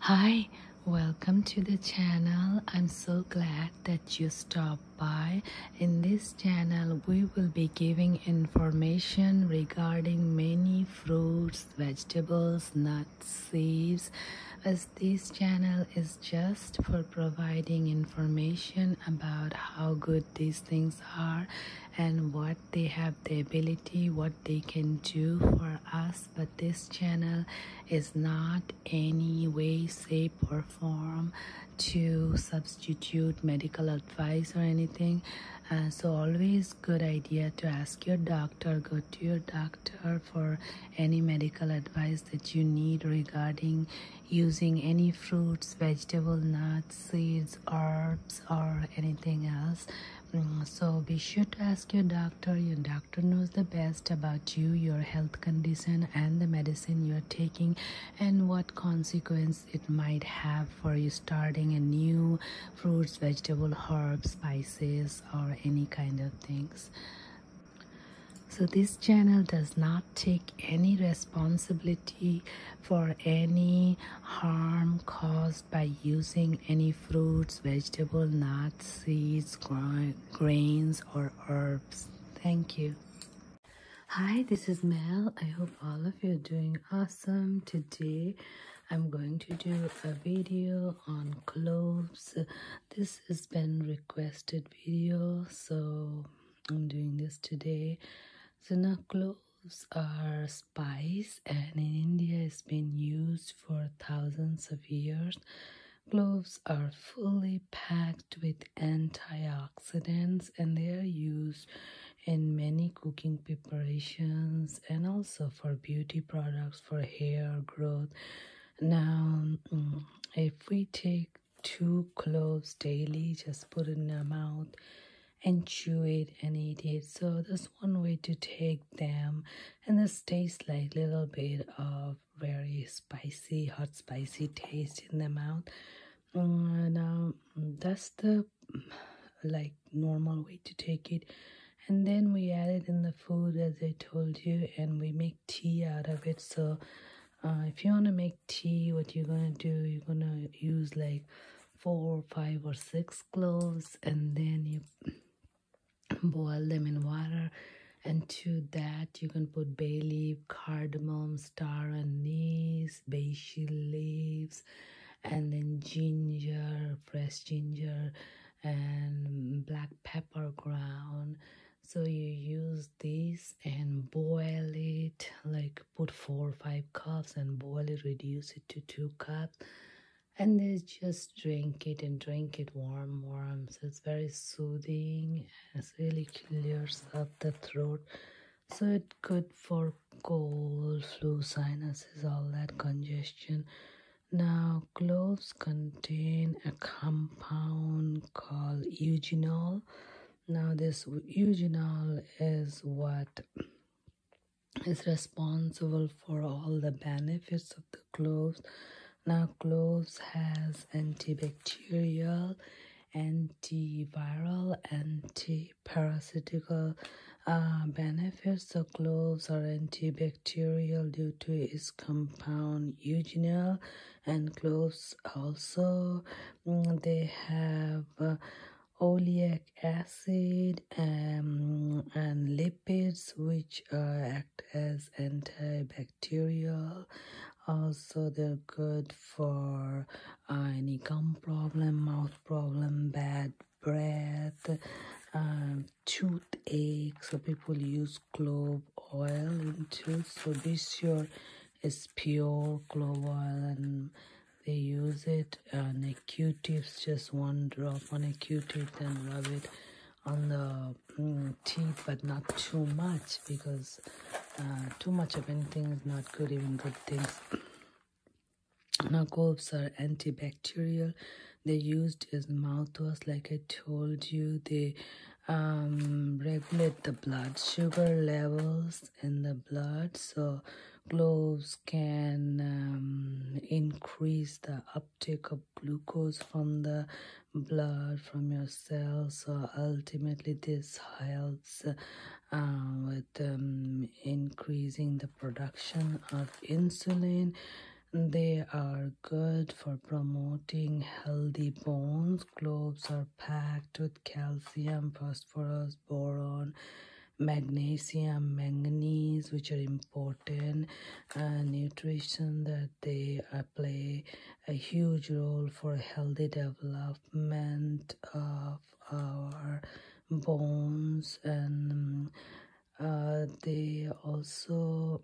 Hi, welcome to the channel. I'm so glad that you stopped by. In this channel, we will be giving information regarding many fruits, vegetables, nuts, seeds. As this channel is just for providing information about how good these things are and what they have the ability, what they can do for us. But this channel is not any way, shape, or form to substitute medical advice or anything. Uh, so always good idea to ask your doctor, go to your doctor for any medical advice that you need regarding using any fruits vegetable nuts seeds herbs or anything else mm, so be sure to ask your doctor your doctor knows the best about you your health condition and the medicine you're taking and what consequence it might have for you starting a new fruits vegetable herbs spices or any kind of things so this channel does not take any responsibility for any harm caused by using any fruits vegetable nuts seeds grains or herbs thank you hi this is mel i hope all of you are doing awesome today I'm going to do a video on cloves. This has been requested video, so I'm doing this today. So now cloves are spice and in India it's been used for thousands of years. Cloves are fully packed with antioxidants and they are used in many cooking preparations and also for beauty products for hair growth. Now, mm, if we take two cloves daily just put in the mouth and chew it and eat it so that's one way to take them and this tastes like little bit of very spicy hot spicy taste in the mouth and um, that's the like normal way to take it and then we add it in the food as i told you and we make tea out of it so uh, if you want to make tea what you're gonna do you're gonna use like four five or six cloves and then you boil them in water and to that you can put bay leaf cardamom star anise basil leaves and then ginger fresh ginger and black pepper ground so you use this and boil it like put four or five cups and boil it reduce it to two cups and then just drink it and drink it warm warm so it's very soothing It's really clears up the throat so it's good for cold flu sinuses all that congestion now, cloves contain a compound called eugenol. Now, this eugenol is what is responsible for all the benefits of the cloves. Now, cloves has antibacterial, antiviral, antiparasitical uh, benefits. So, cloves are antibacterial antibacterial due to its compound eugenol and cloves also mm, they have uh, oleic acid um, and lipids which uh, act as antibacterial also they're good for uh, any gum problem mouth problem bad breath um, toothache so people use clove oil in tooth so this year is pure clove oil and they use it on a q-tips just one drop on a q-tip and rub it on the mm, teeth but not too much because uh, too much of anything is not good even good things now cloves are antibacterial they used as mouthwash like i told you they um, regulate the blood sugar levels in the blood so gloves can um, increase the uptake of glucose from the blood from your cells so ultimately this helps uh, with um, increasing the production of insulin they are good for promoting healthy bones. Cloves are packed with calcium, phosphorus, boron, magnesium, manganese, which are important uh, nutrition that they uh, play a huge role for healthy development of our bones and uh, they also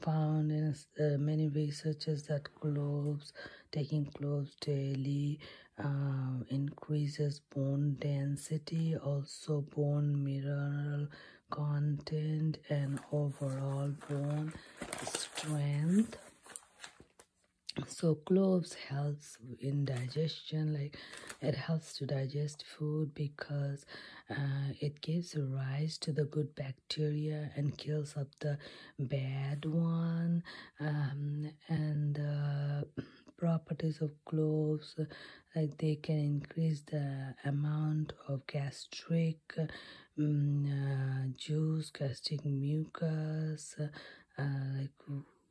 found in uh, many researchers that cloves, taking cloves daily uh, increases bone density, also bone mineral content, and overall bone strength. So cloves helps helps in digestion like it helps to digest food because uh, it gives rise to the good bacteria and kills up the bad one um, and uh, properties of cloves like they can increase the amount of gastric mm, uh, juice gastric mucus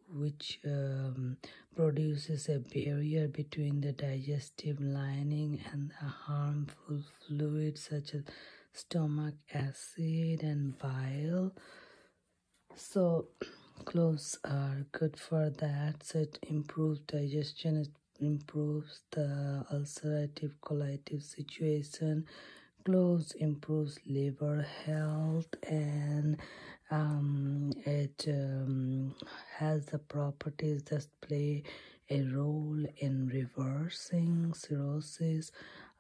which um, produces a barrier between the digestive lining and the harmful fluids such as stomach acid and bile so cloves are good for that it improves digestion it improves the ulcerative colitis situation cloves improves liver health and um, it um, has the properties that play a role in reversing cirrhosis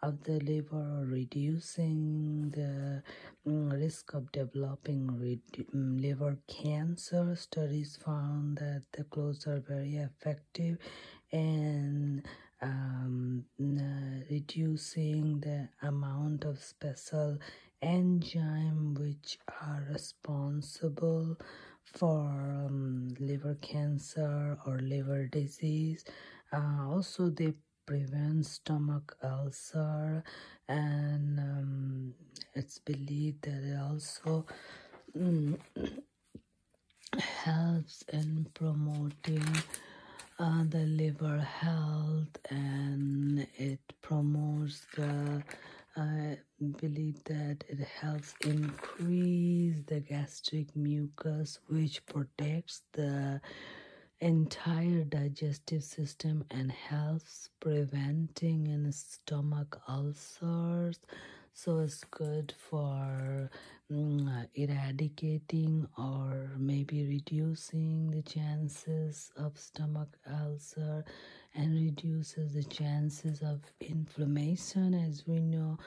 of the liver or reducing the mm, risk of developing mm, liver cancer. Studies found that the cloves are very effective in um, reducing the amount of special enzyme which are responsible for um, liver cancer or liver disease uh, also they prevent stomach ulcer and um, it's believed that it also mm, helps in promoting uh, the liver health and it promotes the I believe that it helps increase the gastric mucus which protects the entire digestive system and helps preventing in stomach ulcers so it's good for mm, eradicating or maybe reducing the chances of stomach ulcer and reduces the chances of inflammation as we know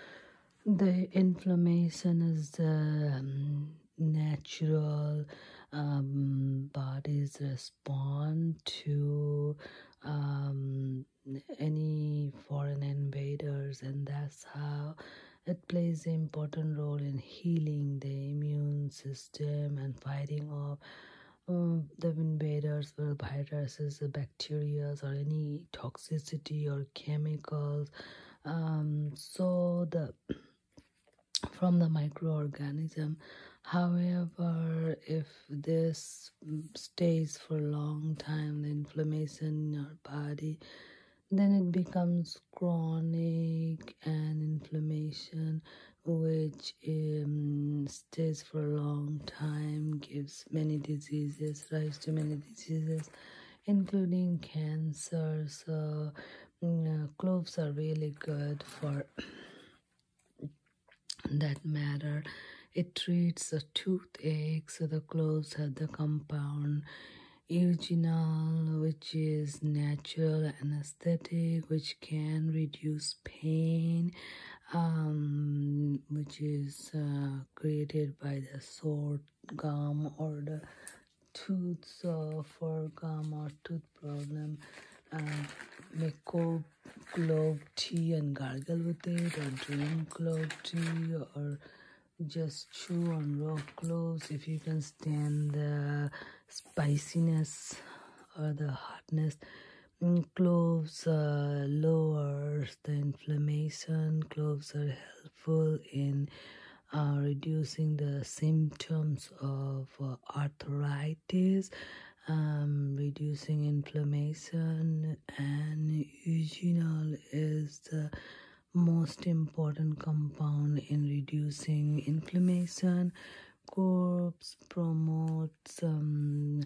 the inflammation is the um, natural um, bodies respond to um, any foreign invaders and that's how it plays an important role in healing the immune system and fighting off um, the invaders viruses, bacteria, or any toxicity or chemicals. Um, so the from the microorganism. However, if this stays for a long time, the inflammation in our body then it becomes chronic and inflammation which um, stays for a long time gives many diseases rise to many diseases including cancers. so mm, uh, cloves are really good for that matter it treats the toothache so the cloves have the compound eugenol, which is natural anesthetic, which can reduce pain, um, which is uh, created by the sword gum or the tooth uh, for gum or tooth problem. make a clove tea and gargle with it, or drink clove tea, or just chew on raw cloves if you can stand the spiciness or the hotness mm, cloves lower the inflammation cloves are helpful in uh, reducing the symptoms of uh, arthritis um, reducing inflammation and eugenol is the most important compound in reducing inflammation corpse promotes um,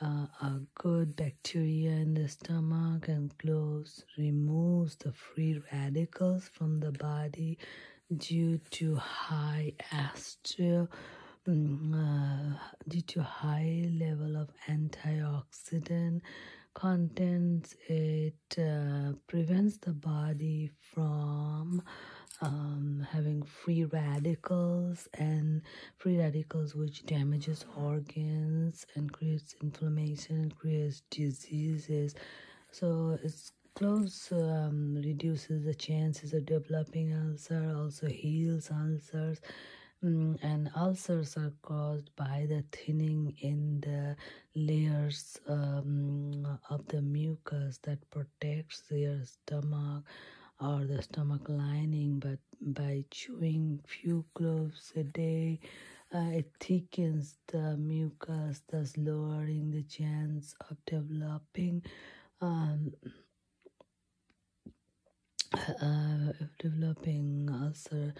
uh, a good bacteria in the stomach and clothes removes the free radicals from the body due to high astral mm, uh, due to high level of antioxidant contents it uh, prevents the body from um, having free radicals and free radicals which damages organs and creates inflammation and creates diseases so it's close um, reduces the chances of developing ulcer also heals ulcers Mm, and ulcers are caused by the thinning in the layers um, of the mucus that protects your stomach or the stomach lining but by chewing few cloves a day uh, it thickens the mucus thus lowering the chance of developing um, uh, developing ulcer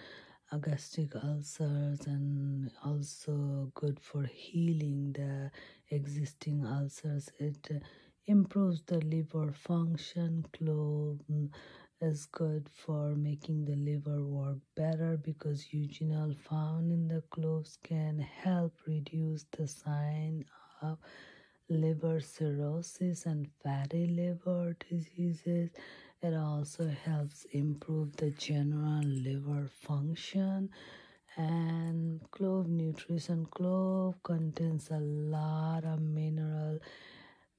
uh, gastric ulcers and also good for healing the existing ulcers it uh, improves the liver function clove mm, is good for making the liver work better because eugenol found in the cloves can help reduce the sign of liver cirrhosis and fatty liver diseases. It also helps improve the general liver function. And clove nutrition clove contains a lot of mineral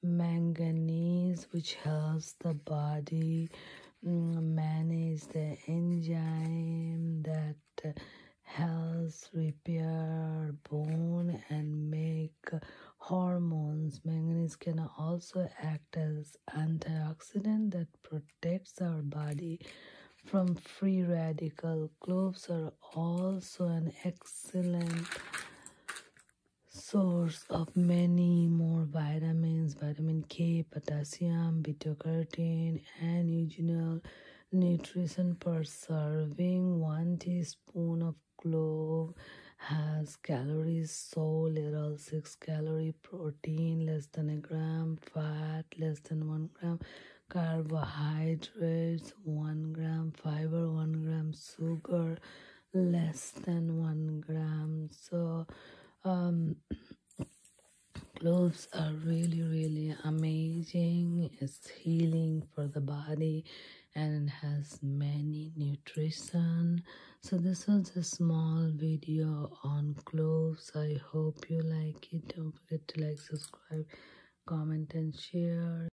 manganese which helps the body mm, manage the enzyme that helps repair bone and make hormones. Manganese can also act as antioxidant that protects our body from free radical. Cloves are also an excellent source of many more vitamins vitamin K, potassium, beta carotene, and eugenol nutrition per serving. One teaspoon of clove has calories so little 6 calorie protein less than a gram fat less than 1 gram carbohydrates 1 gram fiber 1 gram sugar less than 1 gram so um cloves are really really amazing healing for the body and has many nutrition so this was a small video on cloves i hope you like it don't forget to like subscribe comment and share